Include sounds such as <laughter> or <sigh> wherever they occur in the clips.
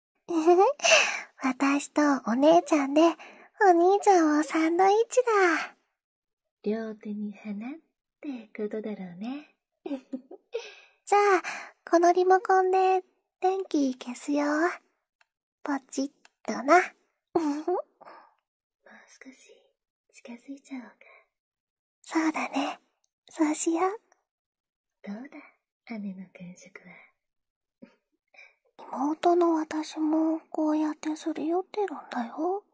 <laughs> 私とお姉ちゃんで、お兄ちゃんをサンドイッチだ。両手に花ってことだろうね。<laughs> じゃあ、このリモコンで電気消すよ。ポチッとな。<laughs> もう少し近づいちゃおうか。そうだね。そうしよう。どうだ、雨の感触は。妹の私もこうやってすり寄ってるんだよ。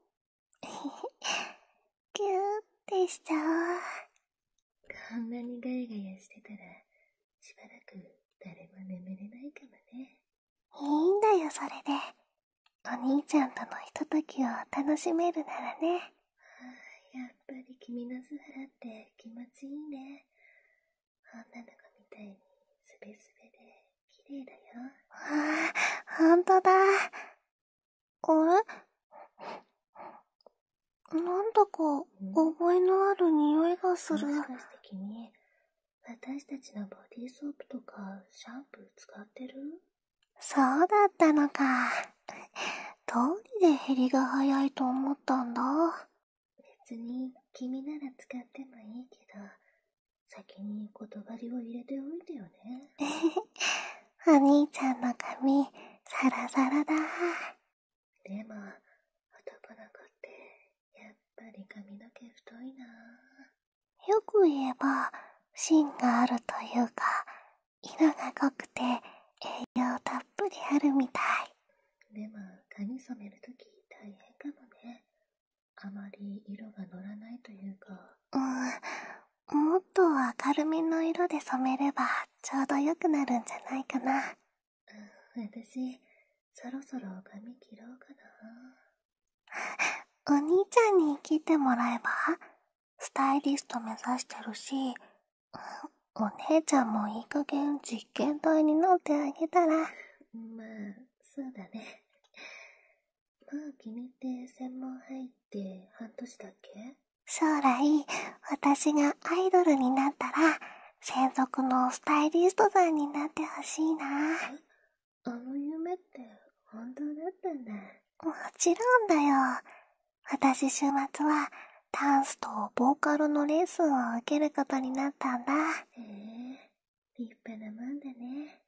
ぎゅーってしちゃう。こんなにガヤガヤしてたら、しばらく誰も眠れないかもね。いいんだよ、それで。お兄ちゃんとのひとときを楽しめるならね。やっぱり君の素肌って気持ちいいね。女の子みたいにスベスベで綺麗だよああほんとだあれなんだか覚えのある匂いがするもしかして君私たちのボディーソープとかシャンプー使ってるそうだったのかどうりで減りが早いと思ったんだ別に君なら使ってもいいけど先に言葉りを入れておいてよね <laughs> お兄ちゃんの髪サラサラだでも男の子ってやっぱり髪の毛太いなよく言えば芯があるというか色が濃くて栄養たっぷりあるみたいでも、髪染めるとき大変かもねあまり色が乗らないというかうんもっと明るめの色で染めればちょうどよくなるんじゃないかな私そろそろ髪切ろうかな <laughs> お兄ちゃんに切ってもらえばスタイリスト目指してるしお姉ちゃんもいい加減実験台に乗ってあげたら。まあ、そうだね。まあ、君って専門入って半年だっけ将来、私がアイドルになったら、専属のスタイリストさんになってほしいな。あの夢って本当だったんだ。もちろんだよ。私週末は、ダンスとボーカルのレッスンを受けることになったんだへえ立派なもんだね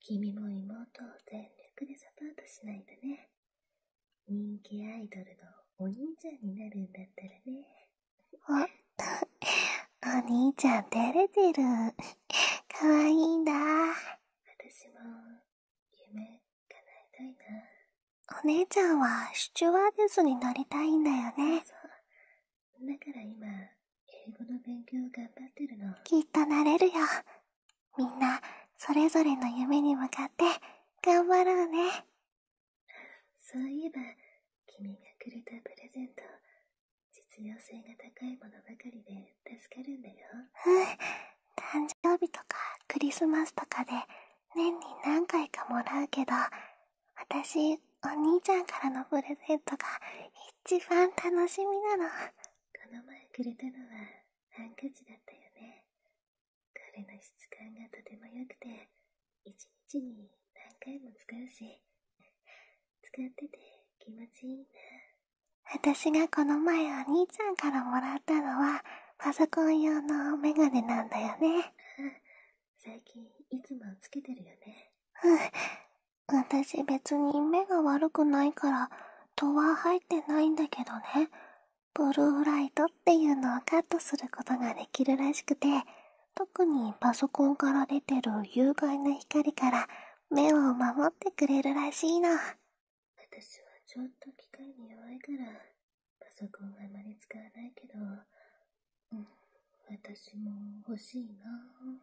君も妹を全力でサポートしないとね人気アイドルのお兄ちゃんになるんだったらねと、お兄ちゃん照れてるかわいいんだ私も夢叶えたいなお姉ちゃんはシチュワーデスになりたいんだよねうだから今英語の勉強頑張ってるのきっとなれるよみんなそれぞれの夢に向かって頑張ろうねそういえば君がくれたプレゼント実用性が高いものばかりで助かるんだよ誕生日とかクリスマスとかで年に何回かもらうけど私お兄ちゃんからのプレゼントが一番楽しみなのこの前くれたのはハンカチだったよね彼の質感がとても良くて一日に何回も使うし使ってて気持ちいいな私がこの前お兄ちゃんからもらったのはパソコン用のメガネなんだよね最近いつもつけてるよねうん私別に目が悪くないから戸は入ってないんだけどねブルーライトっていうのをカットすることができるらしくて特にパソコンから出てる有害な光から目を守ってくれるらしいの私はちょっと機械に弱いからパソコンはあまり使わないけど、私も欲しいな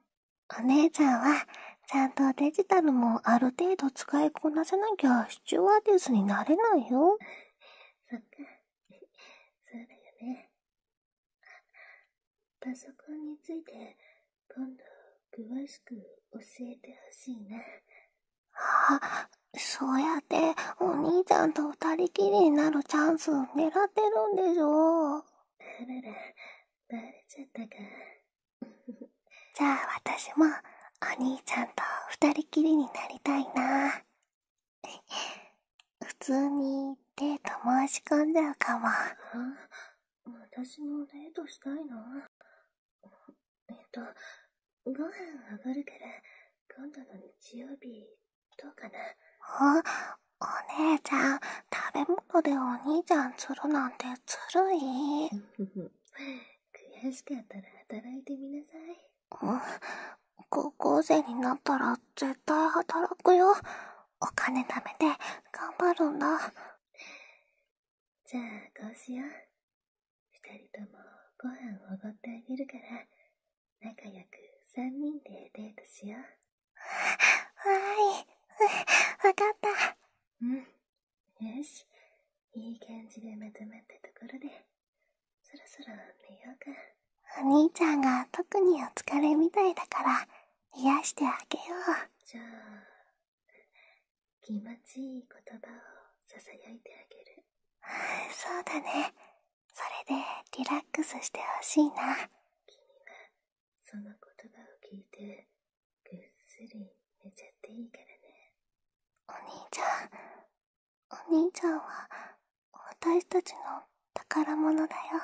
お姉ちゃんはちゃんとデジタルもある程度使いこなせなきゃシチュワーデスになれないよそっか <laughs> そうだよねパソコンについて今度詳しく教えてほしいなあ、そうやってお兄ちゃんと二人きりになるチャンス狙ってるんでしょあらら、バレちゃったか。じゃあ私もお兄ちゃんと二人きりになりたいな。普通にデート申し込んじゃうかも。私もデートしたいのえっと、ご飯おごるから、今度の日曜日、どうかな。お姉ちゃん、食べ物でお兄ちゃん釣るなんてつるい。悔しかったら働いてみなさい。高校生になったら絶対働くよ。お金貯めて頑張るんだ。じゃあ、こうしよう。二人ともご飯をおごってあげるから、仲良く三人でデートしよう。わーい。わかった。うん。よし。いい感じでまとまったところで、そろそろ寝ようか。お兄ちゃんが特にお疲れみたいだから、癒やしてあげよう。じゃあ、気持ちいい言葉を囁いてあげる。<laughs> そうだね。それでリラックスしてほしいな君がその言葉を聞いてぐっすり寝ちゃっていいからねお兄ちゃんお兄ちゃんは私たちの宝物だよ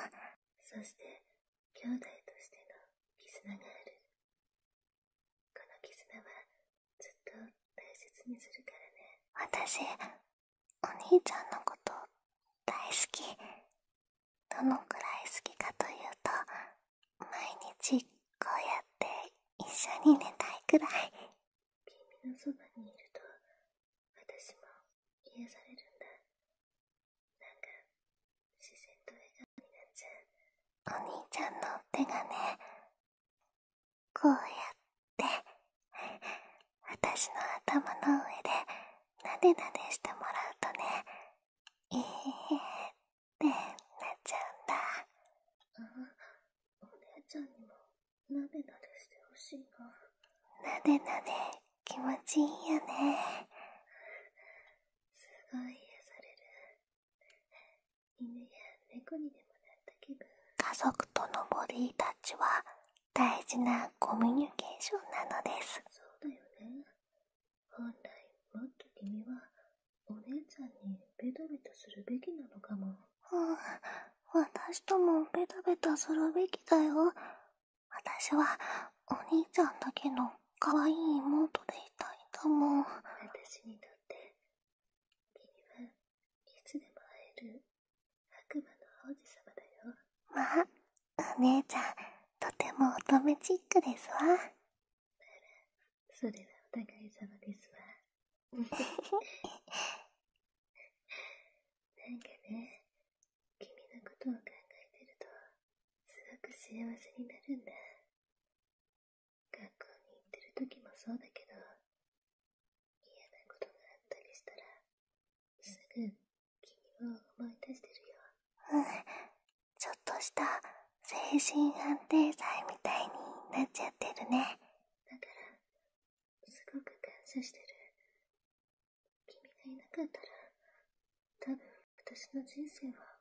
そして兄弟としての絆があるこの絆はずっと大切にするからね私お兄ちゃんのこと大好きどのくらい好きかというと毎日こうやって一緒に寝たいくらい君のそばにいると私も癒やされるんだなんか自然と笑顔になっちゃうお兄ちゃんの手がねこうやってたしの頭の上でなでなでしてもらうとねえーってなっちゃうんだあお姉ちゃんにもなでなでしてほしいななでなで気持ちいいよねすごい癒される犬や猫にでもなった気分家族とのボディタッチは大事なコミュニケーションなのですそうだよね本来もっと君はお姉ちゃんにベタベタするべきなのかも私ともベタベタするべきだよ私はお兄ちゃんだけの可愛い妹でいたいんだも私にとって君はいつでも会える悪魔の王子様だよまあお姉ちゃんとても乙女チックですわあらそれはお互い様ですわなんかね君のことを考えてるとすごく幸せになるんだ学校に行ってる時もそうだけど嫌なことがあったりしたらすぐ君を思い出してるようんちょっとした精神安定剤みたいになっちゃってるねだからすごく感謝してる君がいなかったら多分私の人生は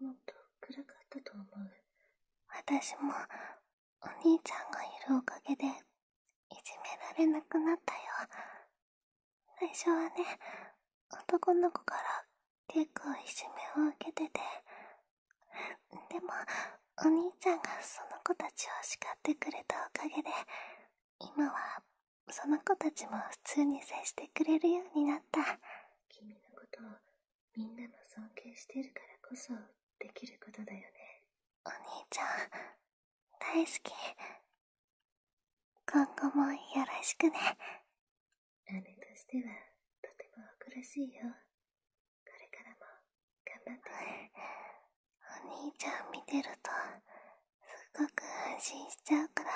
もっと暗かったと思う私もお兄ちゃんがいるおかげでいじめられなくなったよ最初はね男の子から結構いじめを受けててでもお兄ちゃんがその子たちを叱ってくれたおかげで今はその子たちも普通に接してくれるようになった君のことをみんなも尊敬してるからこそできることだよねお兄ちゃん大好き今後もよろしくね姉としてはとてもお苦しいよこれからも頑張ってお兄ちゃん見てるとすっごく安心しちゃうから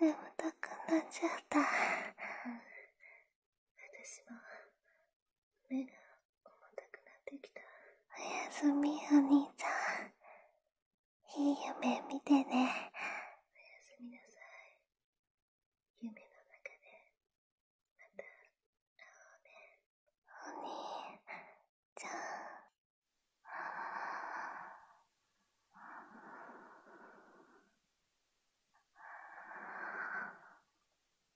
眠たくなっちゃった私も目が重たくなってきたおやすみお兄ちゃんいい夢見てねおやすみなさい夢の中でまた会おうねお兄ちゃんああ。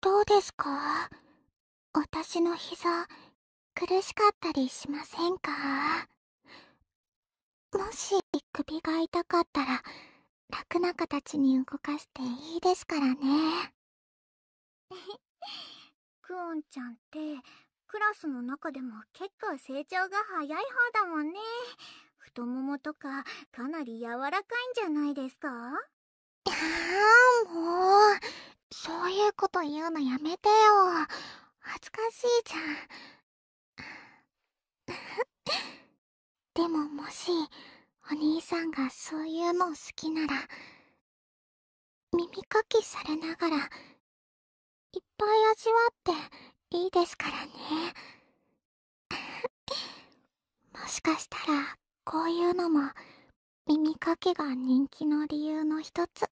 どうですか私の膝苦しかったりしませんかもし首が痛かったら楽な形に動かしていいですからねクオンちゃんんクラスの中でも結構成長が早い方だもんね太ももとかかなり柔らかいんじゃないですかいやーもうそういうこと言うのやめてよ恥ずかしいじゃんでももしお兄さんがそういうの好きなら耳かきされながらいっぱい味わっていいですからね。<laughs> もしかしたら、こういうのも、耳かきが人気の理由の一つ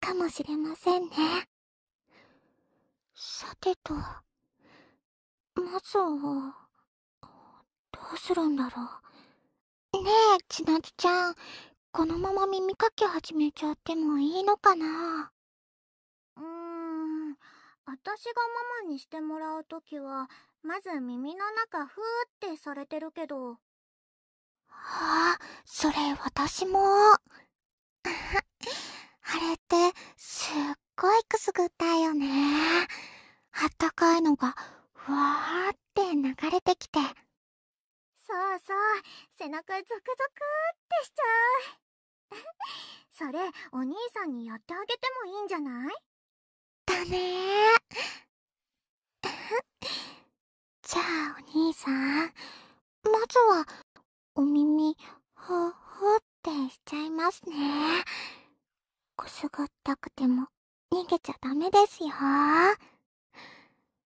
かもしれませんね。さてと、まずは、どうするんだろう。ねえ、ちなつちゃん、このまま耳かき始めちゃってもいいのかなうーん、しがママにしてもらうときは、まず耳の中ふーってされてるけど。ああ、それ私も。<laughs> あれって、すっごいくすぐったいよね。あったかいのが、ふわーって流れてきて、そうそう背中ゾクゾクってしちゃう <laughs> それお兄さんにやってあげてもいいんじゃないだねじゃあお兄さんまずはお耳ほほってしちゃいますねこすがったくても逃げちゃダメですよ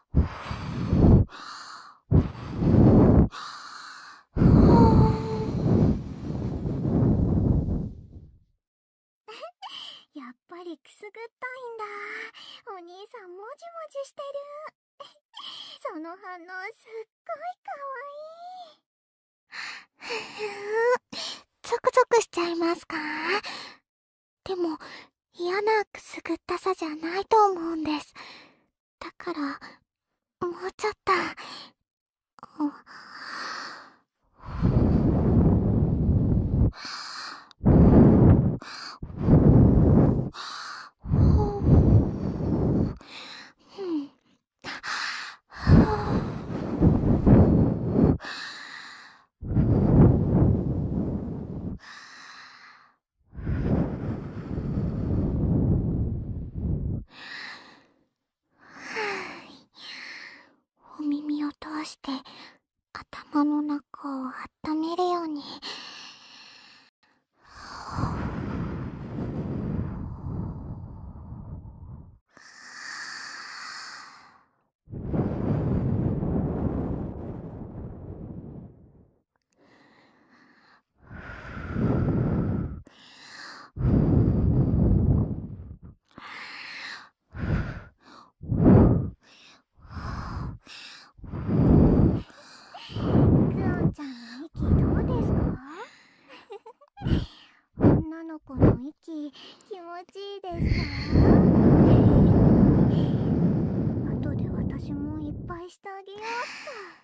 <laughs> やっぱりくすぐったいんだお兄さんもじもじしてる <laughs> その反応すっごいかわいい <laughs> ゾクゾクしちゃいますかでも嫌なくすぐったさじゃないと思うんですだから、もうちょっと。お耳を通して頭の中をあっためるように。ちゃん息どうですか女の子の息気持ちいいですか後で私もいっぱいしてあげようっ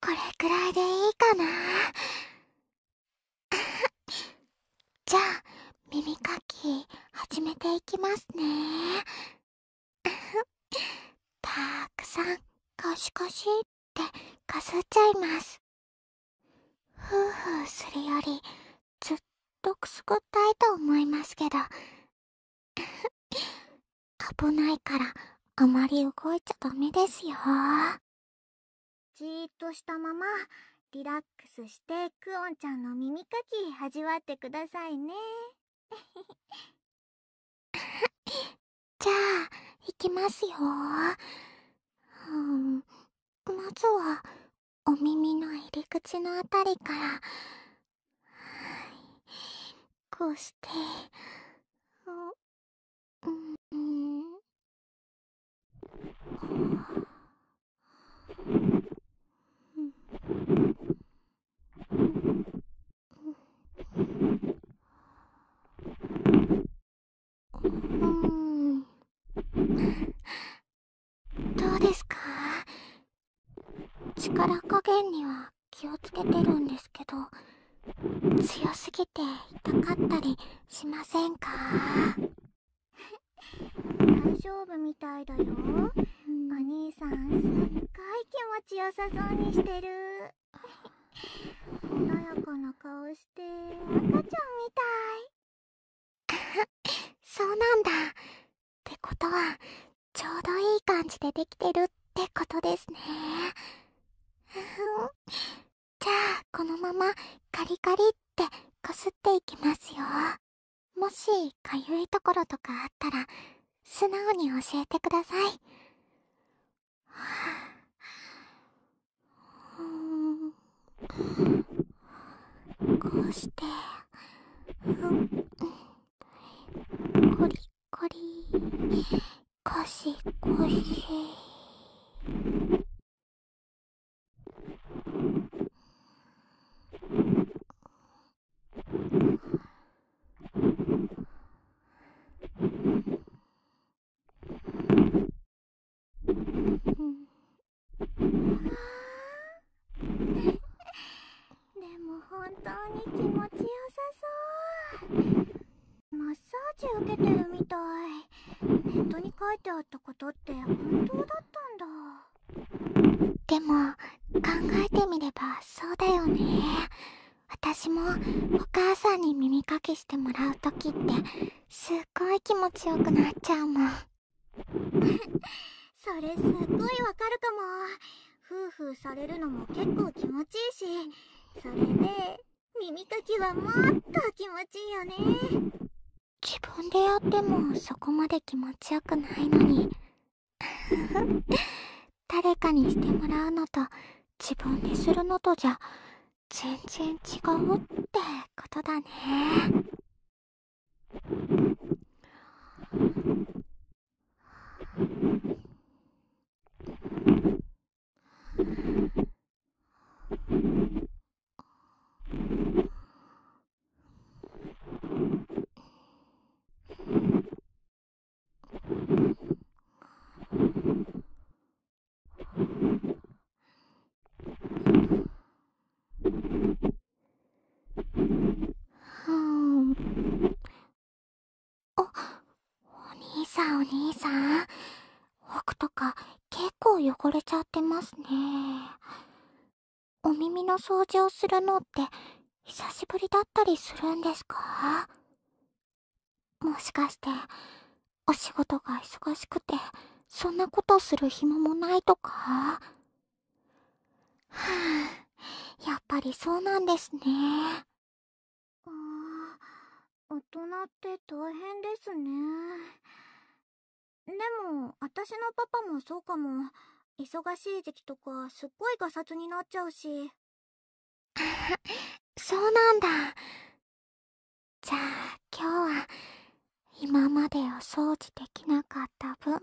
これくらいでいいかな <laughs> じゃあ耳かき始めていきますね <laughs> たくさんコしこしってかすっちゃいますふーふーするよりずっとくすぐったいと思いますけど <laughs> 危ないからあまり動いちゃダメですよじーっとしたままリラックスしてクオンちゃんの耳かき味わってくださいね <laughs> じゃあいきますようんまずはお耳の入り口のあたりから、こうして、うん、……うんどうですか力加減には気をつけてるんですけど強すぎて痛かったりしませんか大丈夫みたいだよお兄さんすっごい気持ちよさそうにしてる穏やかな顔して赤ちゃんみたい <laughs> そうなんだ。ってことは、ちょうどいい感じでできてるってことですね。じゃあ、このままカリカリってこすっていきますよ。もし、かゆいところとかあったら、素直に教えてください。はあうん、こうして、うんコリコリコシコシでも本当に気持ちよさそうマッサージ受けてるみたいネットに書いてあったことって本当だったんだでも考えてみればそうだよね私もお母さんに耳かきしてもらう時ってすっごい気持ちよくなっちゃうもん <laughs> それすっごいわかるかも夫婦されるのも結構気持ちいいしそれで耳かきはもっと気持ちいいよね自分でやってもそこまで気持ちよくないのに <laughs> 誰かにしてもらうのと自分でするのとじゃ全然違うってことだね。うんおお兄さんお兄さん奥とか結構汚れちゃってますねお耳の掃除をするのって久しぶりだったりするんですかもしかしてお仕事が忙しくて、そんなことする暇もないとかはあ、<sighs> やっぱりそうなんですね。ああ、大人って大変ですね。でも、私のパパもそうかも。忙しい時期とか、すっごいガサツになっちゃうし。<laughs> そうなんだ。じゃあ今日は今までお掃除できなかった分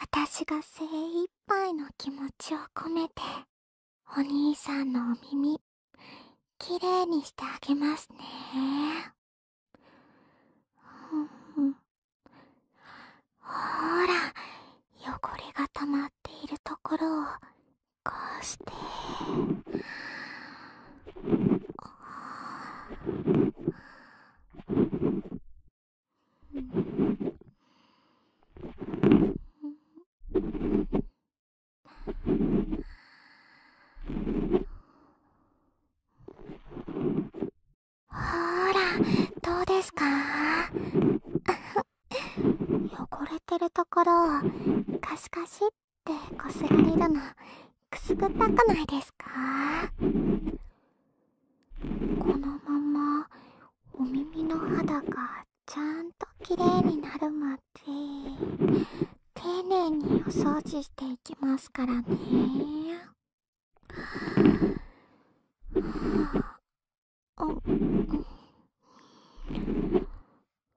私が精一杯の気持ちを込めてお兄さんのお耳きれいにしてあげますね。ほーら汚れが溜まっているところをこうして。ほらどうですか <laughs> 汚れてるところをカシカシってこすられるのくすぐったくないですかこのままお耳の肌がちゃんときれいになるまで丁寧にお掃除していきますからね。は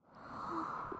は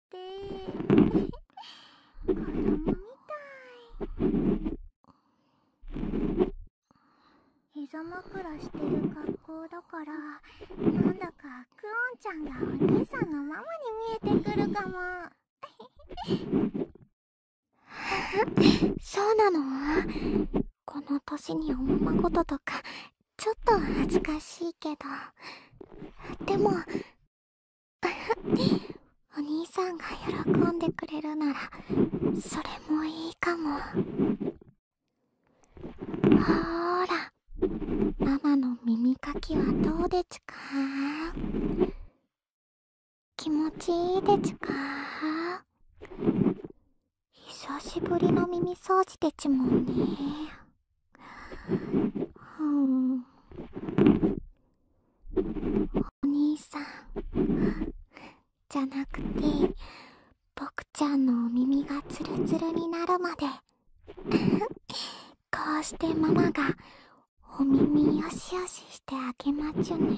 てて <laughs> 子供みたい膝枕してる格好だからなんだかクオンちゃんがお姉さんのママに見えてくるかも <laughs> そうなのこの年におままごととかちょっと恥ずかしいけどでも <laughs> お兄さんが喜んでくれるならそれもいいかもほらママの耳かきはどうでちか気持ちいいでちか久しぶりの耳掃除でちもんねうんお兄さんじゃなくて僕ちゃんのお耳がツルツルになるまで <laughs> こうしてママがお耳よしよししてあげまちゅね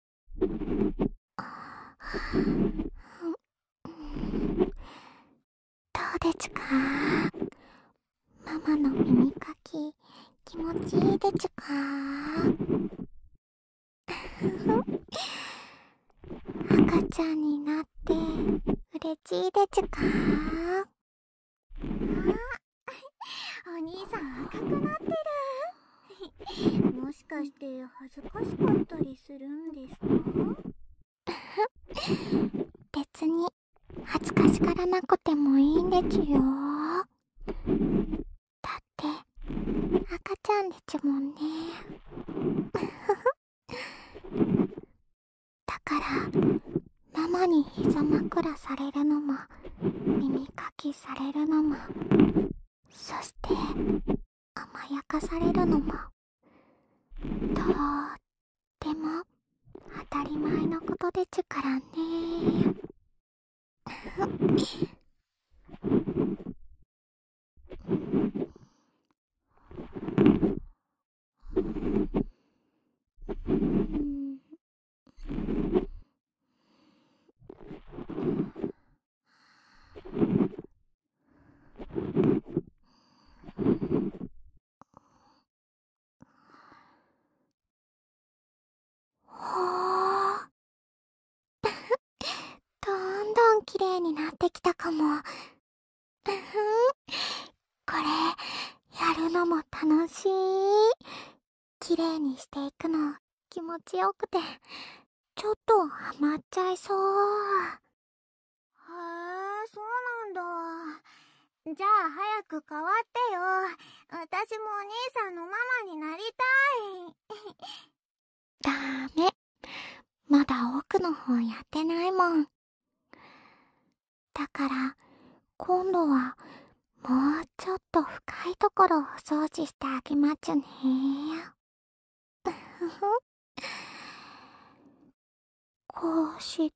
どうでちゅかママの耳かき気持ちいいでちゅか赤ちゃんになってうれちいでちゅかあお兄さん赤くなってるもしかして恥ずかしかったりするんですか <laughs> 別に恥ずかしからなくてもいいんでちゅよだって赤ちゃんでちゅもんね <laughs> だからママに膝枕されるのも耳かきされるのもそして甘やかされるのもとっても当たり前のことでちゅからねん <laughs> 綺麗になってきたかも。<laughs> これ、やるのも楽しい。綺麗にしていくの気持ちよくて、ちょっとはまっちゃいそうへえそうなんだじゃあ早く変わってよ私もお兄さんのママになりたいダメまだ奥の方やってないもんだから今度はもうちょっと深いところをお掃除してあげまちゅね <laughs> こうして。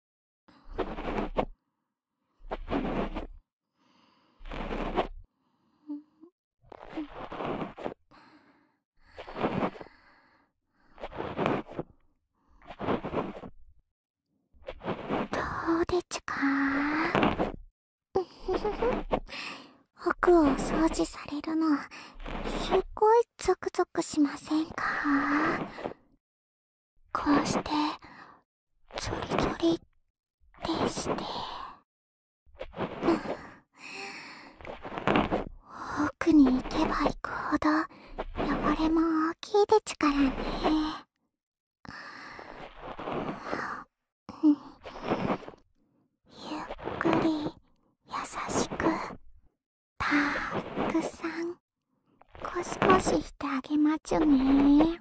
どうでちゅか <laughs> 奥をお掃除されるのすっごいゾクゾクしませんかこうしてゾリゾリってして奥に行けば行くほど汚れも大きいですからね。ゆっくり優しくたくさんコシコシしてあげまちゅね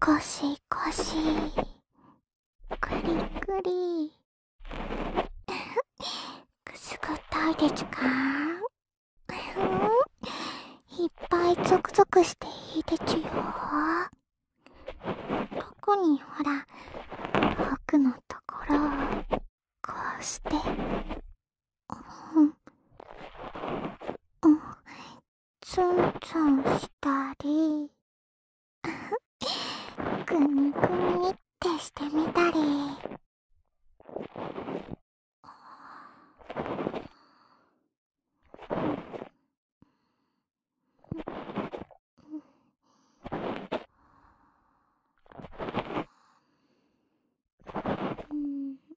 こしこしくりくりくすぐったいですかいっぱいゾクゾクしていいですよ特にほら奥のところこうしてうんうんツンツンしたりくにくにってしてみたり。うん。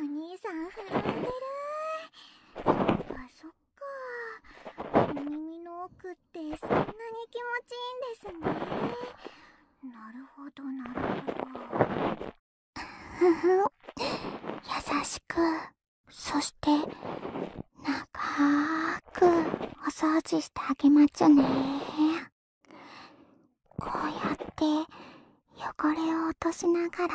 お兄さん震えてるあそっっかお耳の奥ってそんなに気持ちいいんですねなるほどなるほど優しくそしてな長くお掃除してあげまちゅねこうやって汚れを落としながら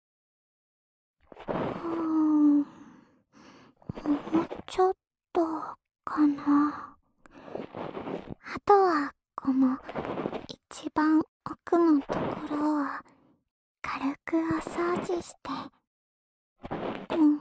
うんもうちょっとかなあとはこの一番奥のところを軽くお掃除してん、うん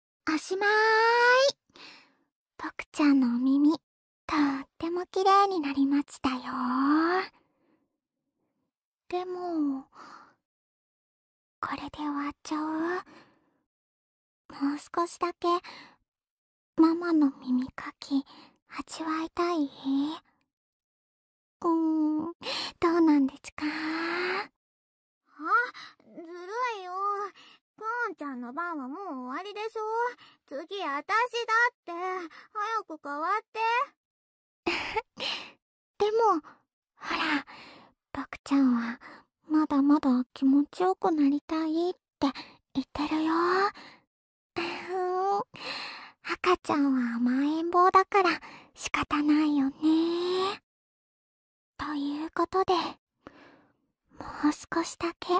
おしまい。ぽくちゃんのお耳、とっても綺麗になりましたよでも、これで終わっちゃうもう少しだけ、ママの耳かき、味わいたいうーん、どうなんですかあ、ずるいよ。コーンちゃんの番はもう終わりでしょ次、あたしだって。早く変わって。<laughs> でも、ほら、ボクちゃんは、まだまだ気持ちよくなりたいって言ってるよ。赤ちゃんは甘えん坊だから仕方ないよね。ということで、もう少しだけ、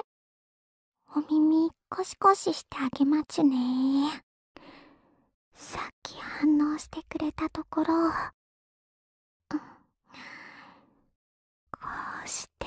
お耳コシコシしてあげまちゅねさっき反応してくれたところ、うん、こうして、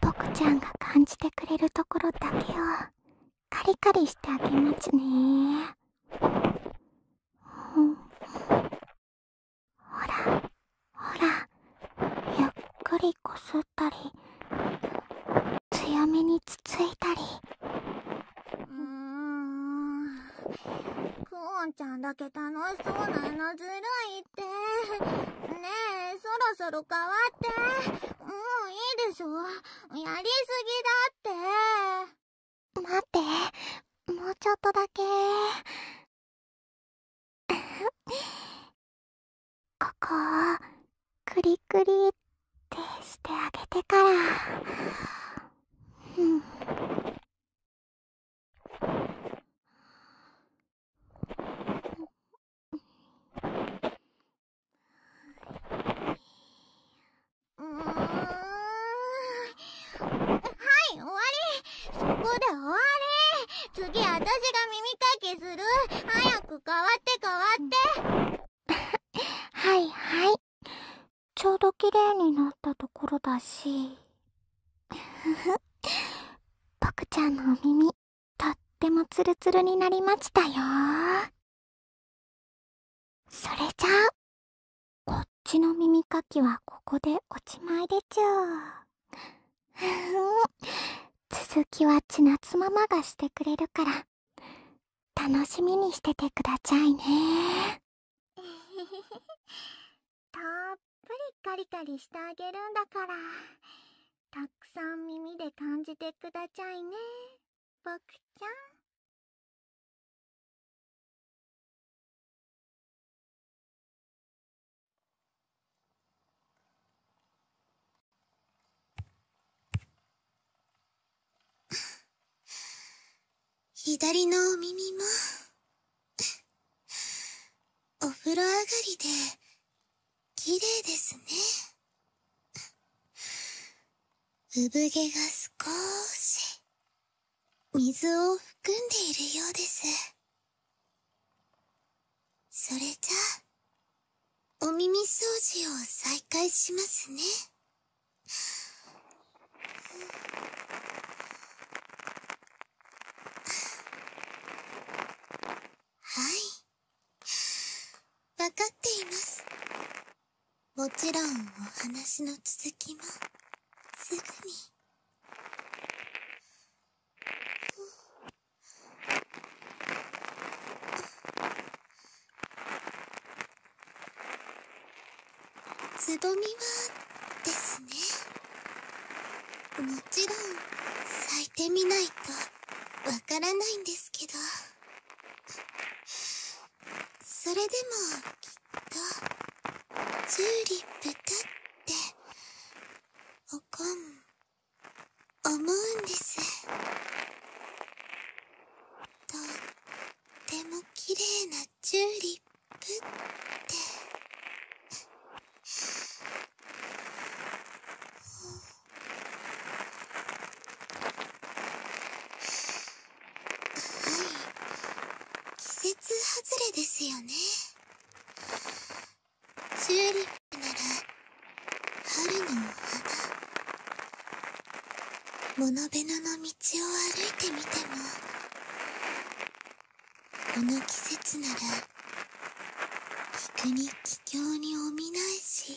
ボクちゃんが感じてくれるところだけをカリカリしてあげますね、ほらほらゆっくりこすったり強めにつついたり。うーん。クオンちゃんだけ楽しそうなのずるいって。ねえ、そろそろ変わって。もういいでしょ。やりすぎだって。待って。もうちょっとだけ。ここを、クリクリってしてあげてから。うん。次私が耳かきする早く変わって変わって <laughs> はいはいちょうど綺麗になったところだし。ボ <laughs> クちゃんのお耳、とってもツルツルになりましたよ。それじゃあ、こっちの耳かきはここでおしまいでちゅ。<laughs> 続きはちなつママがしてくれるから、楽しみにしててくださいね。<laughs> たっぷりカリカリしてあげるんだから。たくさん耳で感じてくだちゃいね、僕ちゃん。<laughs> 左のお耳も、お風呂上がりで、綺麗ですね。産毛が少し、水を含んでいるようです。それじゃお耳掃除を再開しますね。はい分かっていますもちろんお話の続きもすぐに。つぼみはですねもちろん咲いてみないとわからないんですけどそれでもきっとチューリップだっておこん思うんですとっても綺麗なチューリップってはい季節外れですよねチューリップなら春のお花モノベノの道を歩いてみてもこの季節なら菊に気境におみないし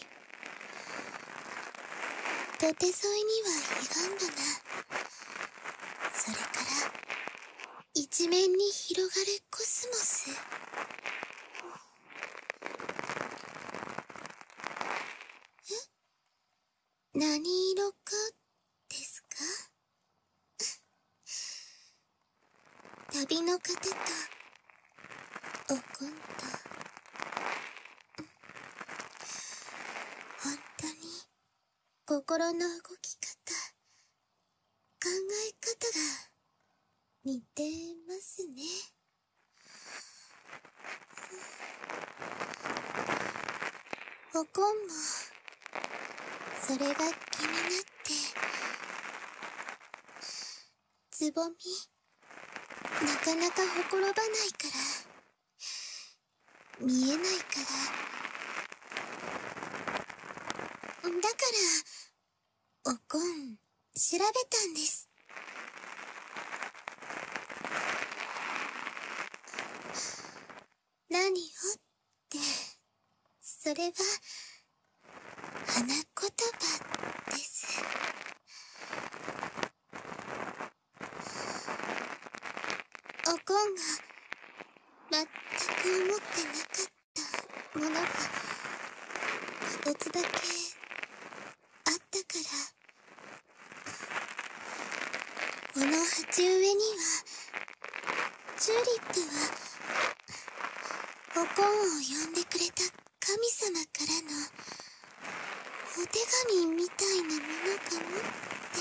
土手沿いには彼岸花それから一面に広がるコスモスえ何色かですか旅の方とおこんと本当に心の動き方考え方が似てますねおこんもそれが気になってつぼみなかなかほころばないから見えないからだからおこん調べたんです何をってそれは花言葉ですおこんが全く思ってなかったものが一つだけあったからこの鉢植えにはチューリップはおこんを呼んでくれた神様からのお手紙みたいなものかもって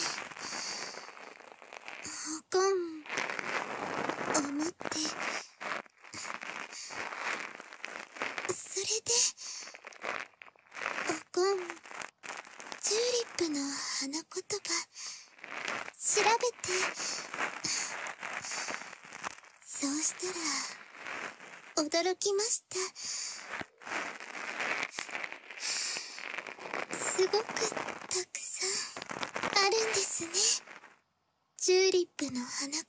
おこん思ってそれでおこんチューリップの花言葉調べてそうしたら驚きましたすごくたくさんあるんですねチューリップの花言葉っ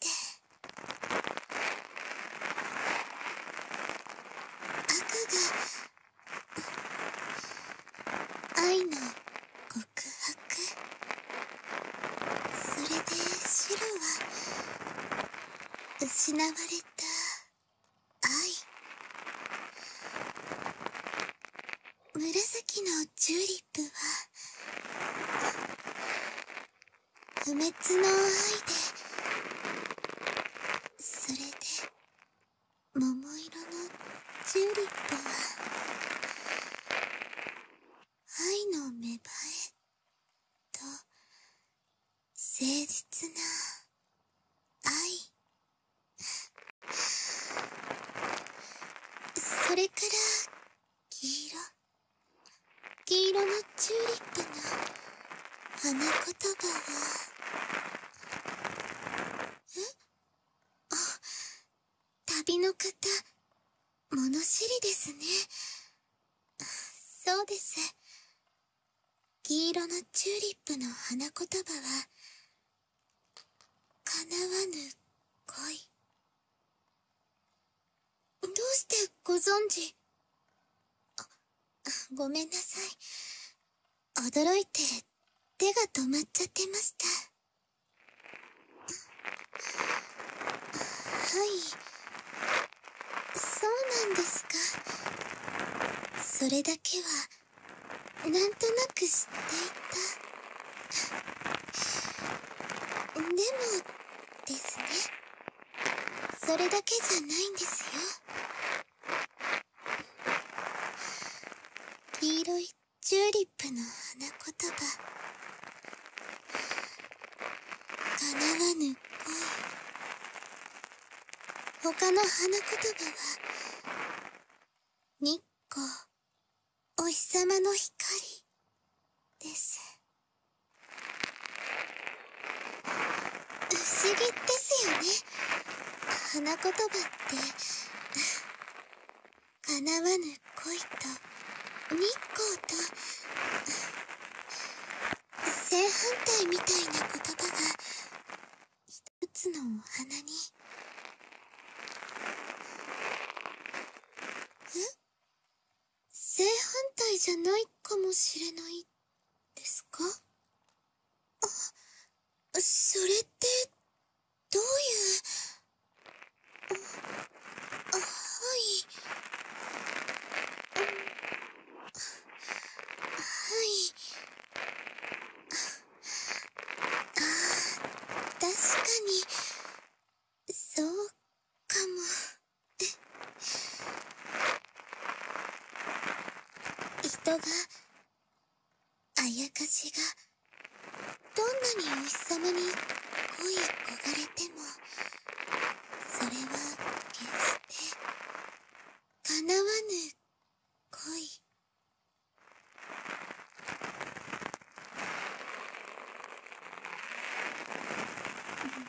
て赤が愛の告白それでシロは失われた愛紫のチューリップは不滅の愛でそれで桃色のチューリップは愛の芽生えと誠実な愛それから黄色黄色のチューリップの花言葉はえあ旅の方物知りですねそうです黄色のチューリップの花言葉は叶わぬ恋どうしてご存じ…あごめんなさい驚いて手が止まっちゃってましたはいそうなんですかそれだけはなんとなく知っていたでもですねそれだけじゃないんですよ黄色いチューリップの花言葉かなわぬ恋他の花言葉は日光お日様の光です不思議ですよね花言葉って叶わぬ恋と日光と正反対みたいな言葉が一つのお花にえ正反対じゃないかもしれないですかあそれってどういうはいはいあ確かにそうかも人があやかしがどんなにお日様に恋い焦がれてもそれは決して叶わぬ恋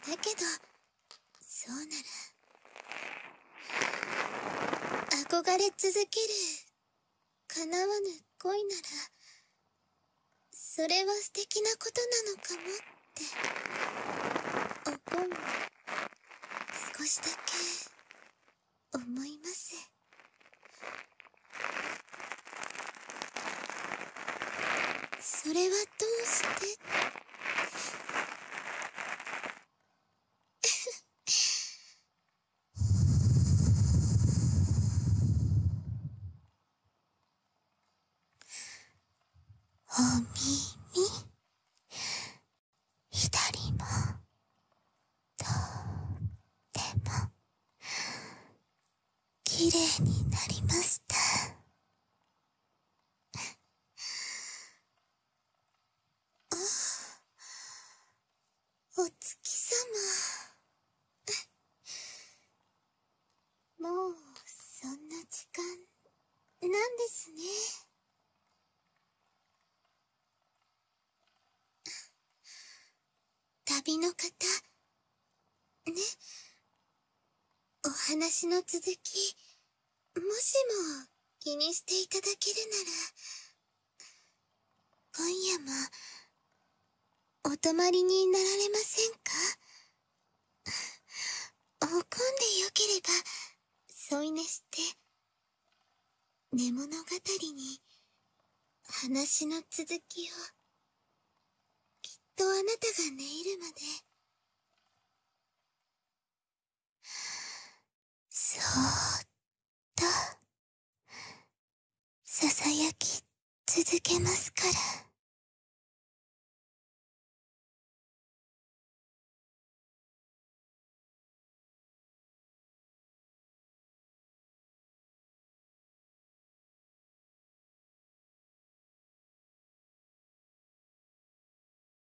だけどそうなら憧れ続ける叶わぬ恋ならそれは素敵なことなのかもって思ん！少しだけ思いますそれはどうしておみみ……ひ耳りもとってもきれいになりましたあお月様もうそんな時間なんですね旅の方ねお話の続きもしも気にしていただけるなら今夜もお泊まりになられませんかおんでよければ添い寝して寝物語に話の続きをきっとあなたが寝入るまでそーっとささやき続けますから